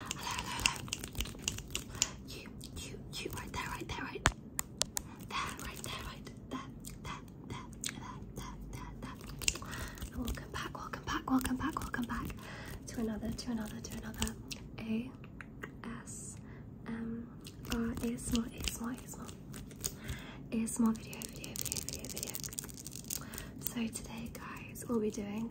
Hello, hello, You, you, you, right there, right there, right there, right there, right there, there, there, there, there, there, there. And welcome back, welcome back, welcome back, welcome back to another, to another, to another A S M R ASMR, small, ASMR, small video, video, video, video, video. So today, guys, we'll be doing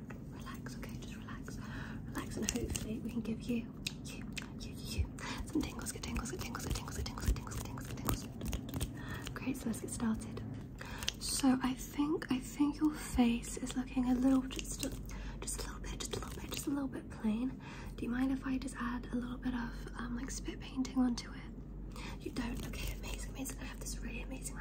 relax, okay? Just relax, relax, and hopefully we can give you, you, you, you some tingles, good tingles, good tingles, good tingles, good tingles, good tingles, good tingles, good tingles. Great, so let's get started. So I think I think your face is looking a little just a, just a little bit, just a little bit, just a little bit plain. Do you mind if I just add a little bit of um, like spit painting onto it? You don't? Okay, amazing, amazing. I have this really amazing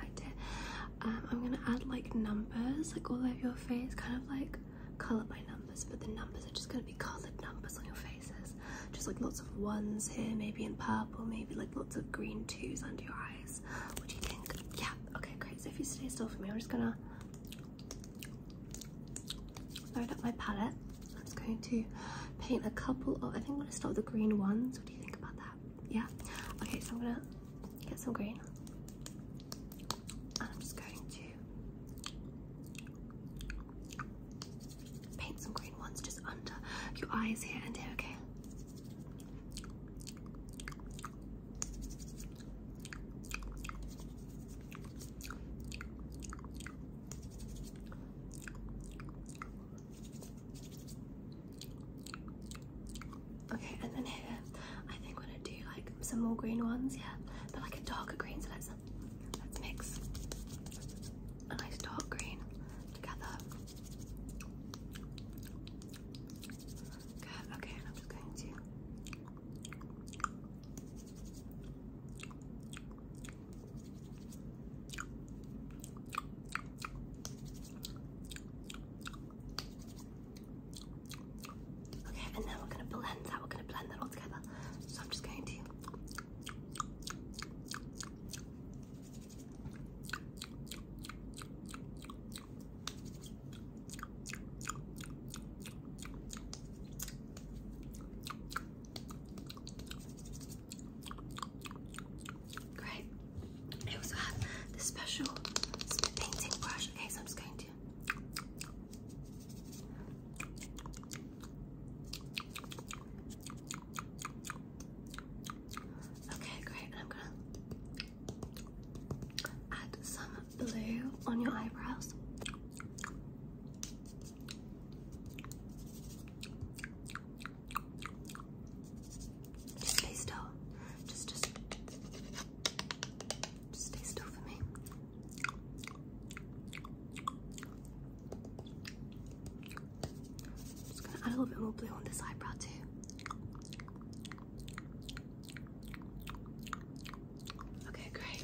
um, I'm gonna add like numbers like all over your face, kind of like colour by numbers, but the numbers are just gonna be coloured numbers on your faces. Just like lots of ones here, maybe in purple, maybe like lots of green twos under your eyes. What do you think? Yeah, okay, great. So if you stay still for me, I'm just gonna load up my palette. I'm just going to paint a couple of I think I'm gonna start with the green ones. What do you think about that? Yeah. Okay, so I'm gonna get some green. And I'm just going to paint some green ones just under your eyes here and here, okay? Okay, and then here, I think we're gonna do like some more green ones, yeah, but like a darker green. So let's let's mix a nice dark green together. Good. Okay, I'm just going to. Okay, and then we're gonna blend that, we're gonna blend that all together. So I'm just going to Great. I also have the special painting brush. Okay, so I'm just going to. Okay, great. I'm gonna add some blue on your eyebrows. Just stay still. Just, just, just stay still for me. just gonna add a little bit more blue on this eyebrow too. Okay, great.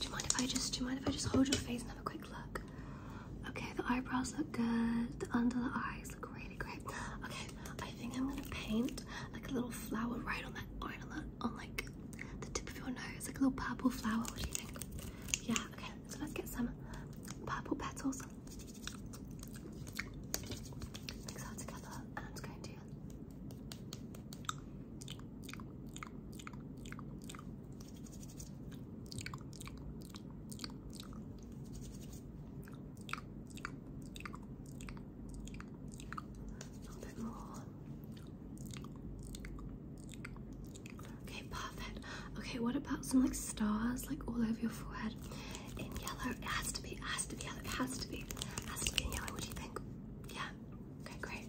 Do you mind if I just do you mind if I just hold your face and have a quick look? Okay, the eyebrows look good. The under the eyes look really great. Okay, I think I'm gonna paint like a little flower right on that right on, the, on like the tip of your nose, like a little purple flower. What do you think? Yeah. Okay, so let's get some purple petals. Mix that together, and i going to. Okay, perfect. Okay, what about some like stars like all over your forehead in yellow? It has to be, it has to be yellow, it has to be, it has to be yellow. What do you think? Yeah, okay, great.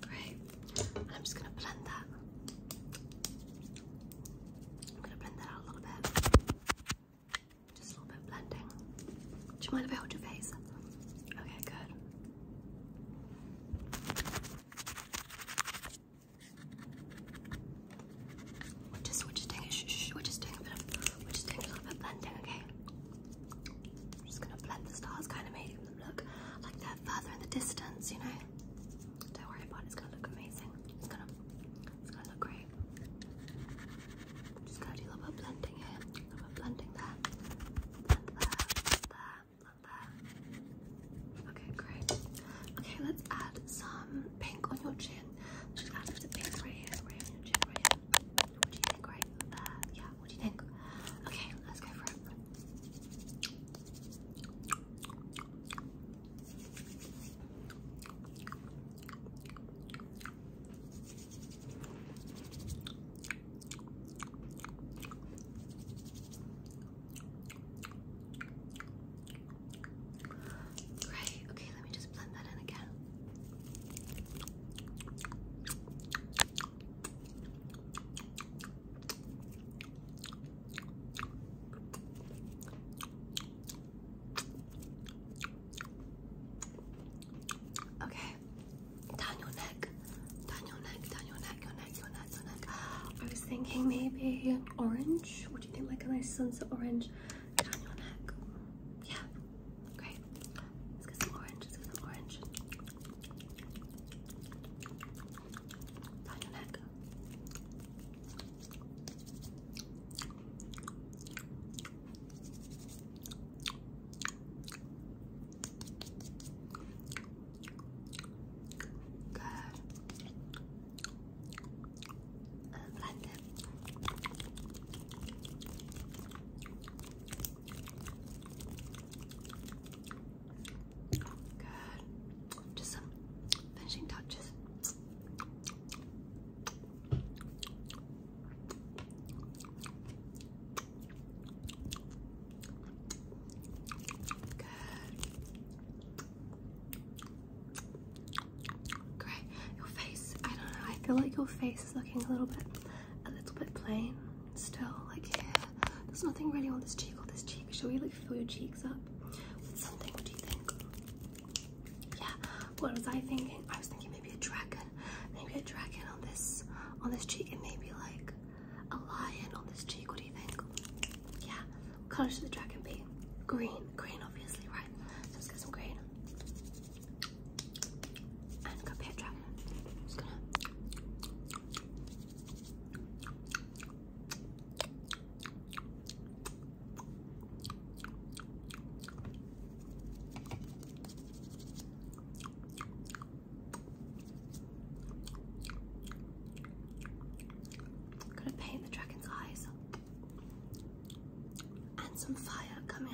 Great. And I'm just going to blend that. I'm going to blend that out a little bit. Just a little bit of blending. Do you mind if I hold your face? Okay, good. We're just, we're just doing, shh, shh, we're just doing a bit of, we're just doing a little bit of blending, okay? I'm just gonna blend the stars, kind of making them look like they're further in the distance, you know? Don't worry about it, it's gonna look amazing. It's gonna, it's gonna look great. just gonna do a little bit of blending here, a little bit blending there, blend there, blend there, blend there. Okay, great. Okay, let's add some pink on your chin. Just add a pink right here, right on chin, right here. What you think, right there? Yeah, what do you think? Okay, let's go for it. Great. Okay, let me just blend that in again. Okay, down your neck, down your neck, down your neck, your neck, your neck, your neck. I was thinking maybe orange. Would you think? Like a nice sunset orange down your neck. Yeah, great. Let's get some orange. Let's get some orange. Find your neck. Good. blend it. Good. Just some finishing touches. Good. Great. Your face. I don't know. I feel like your face face looking a little bit, a little bit plain still. Like here, there's nothing really on this cheek or this cheek. Shall we like fill your cheeks up with something? What do you think? Yeah. What was I thinking? I was thinking maybe a dragon, maybe a dragon on this, on this cheek, and maybe like a lion on this cheek. What do you think? Yeah. What color should the dragon be? Green. Green, obviously, right? So let's get some green. I'm gonna paint the dragon's eyes and some fire coming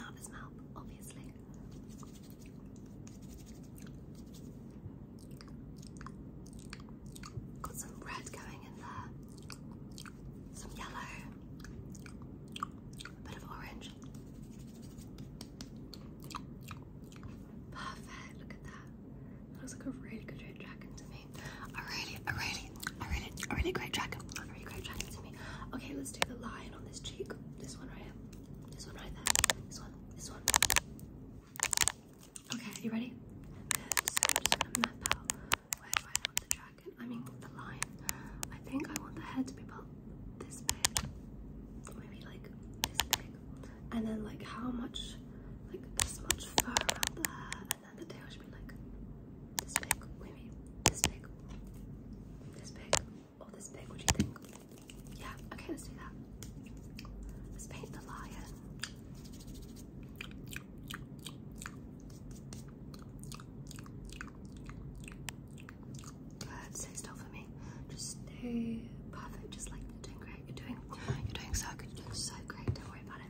obviously. Got some red going in there, some yellow, a bit of orange. Perfect, look at that. That looks like a really good red dragon to me. I really, I really Okay, I read I read Great dragon. I read it. Great dragon to me. Okay, let's do the line on this cheek. This one right here. This one right there. This one. This one. Okay, you ready? So I'm just gonna map out where I want the dragon. I mean the line. I think I want the head to be about this big, maybe like this big, and then like how much, like this much far. around the and then the tail should be like this big, maybe this big, this big, or oh, this big. What do you think? Yeah, okay, let's do that. Let's paint the lion. Good, stay still for me. Just stay perfect, just like you're doing great. You're doing you're doing so good, you're doing so great, don't worry about it.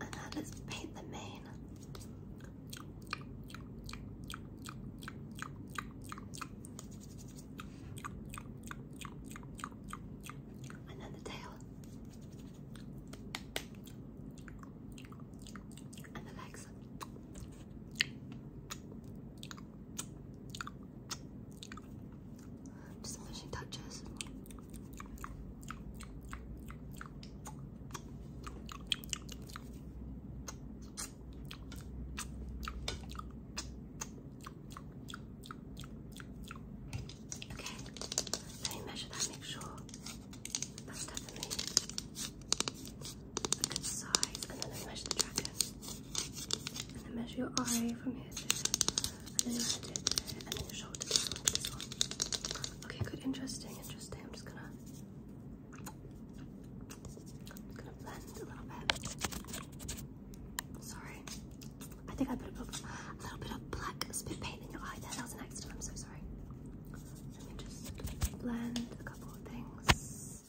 And let's paint the mane. And then the tail. And the legs. Just the she touches. Okay, let me measure that, make sure that's definitely a good size, and then let measure the trackers and then measure your eye from here to here, and then your head to Okay, good, interesting, interesting. I'm just gonna, blend a little bit. Sorry, I think I put a little, bit of black spit paint in your eye That was an accident. I'm so sorry. Let me just blend a couple of things.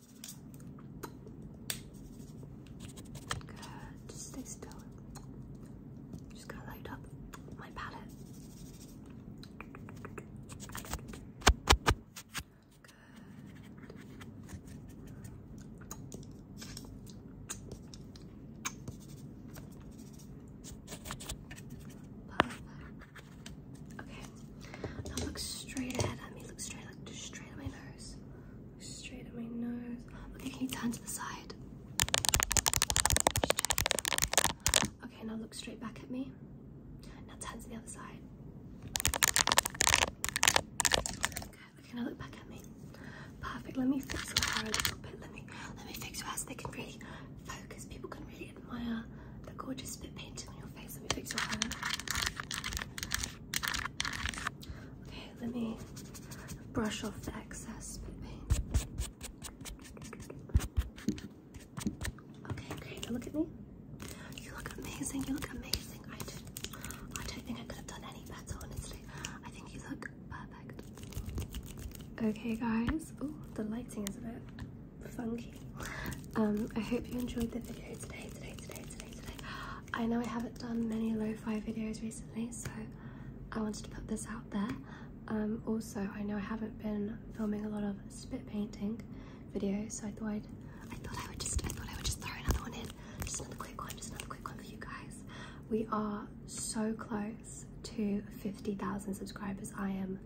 Just stay still. Just gonna light up my palette. Okay. Now look straight ahead at me. Look straight, look straight at my nose. Look straight at my nose. Okay, can you turn to the side? Okay, now look straight back at me. Now turn to the other side. Okay, now look back at me. Perfect. Let me fix your hair a little bit. Let me let me fix your hair so they can really focus. People can really admire the gorgeous spit painting on your face. Let me fix your hair. Okay, let me brush off the excess paint. Okay, great. Look at me. You look amazing. You look amazing. I don't, I don't think I could have done any better, honestly. I think you look perfect. Okay, guys. Oh, the lighting is a bit funky. Um, I hope you enjoyed the video today, today, today, today, today. I know I haven't done many lo-fi videos recently, so I wanted to put this out there. Um, also, I know I haven't been filming a lot of spit painting videos, so I thought I'd, I thought I would just, I thought I would just throw another one in, just another quick one, just another quick one for you guys. We are so close to 50,000 subscribers. I am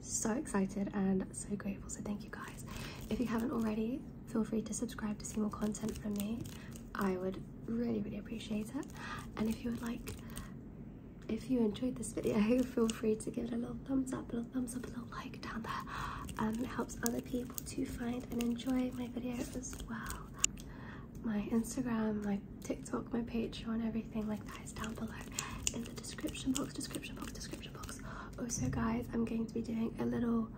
so excited and so grateful. So thank you guys. If you haven't already, feel free to subscribe to see more content from me. I would really, really appreciate it. And if you would like, if you enjoyed this video, feel free to give it a little thumbs up, a little thumbs up, a little like down there. Um, it helps other people to find and enjoy my video as well. My Instagram, my TikTok, my Patreon, everything like that is down below in the description box, description box, description box. Also guys, I'm going to be doing a little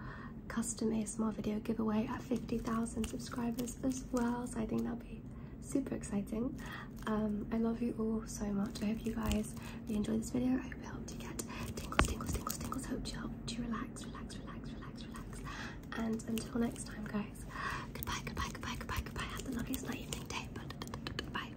custom ASMR video giveaway at 50,000 subscribers as well. So I think that'll be super exciting. Um, I love you all so much. I hope you guys you enjoyed this video. I hope it helped you get tingles, tingles, tingles, tingles. Hope you helped you relax, relax, relax, relax, relax. And until next time guys, goodbye, goodbye, goodbye, goodbye, goodbye. Have the loveliest night, evening, day. Bye.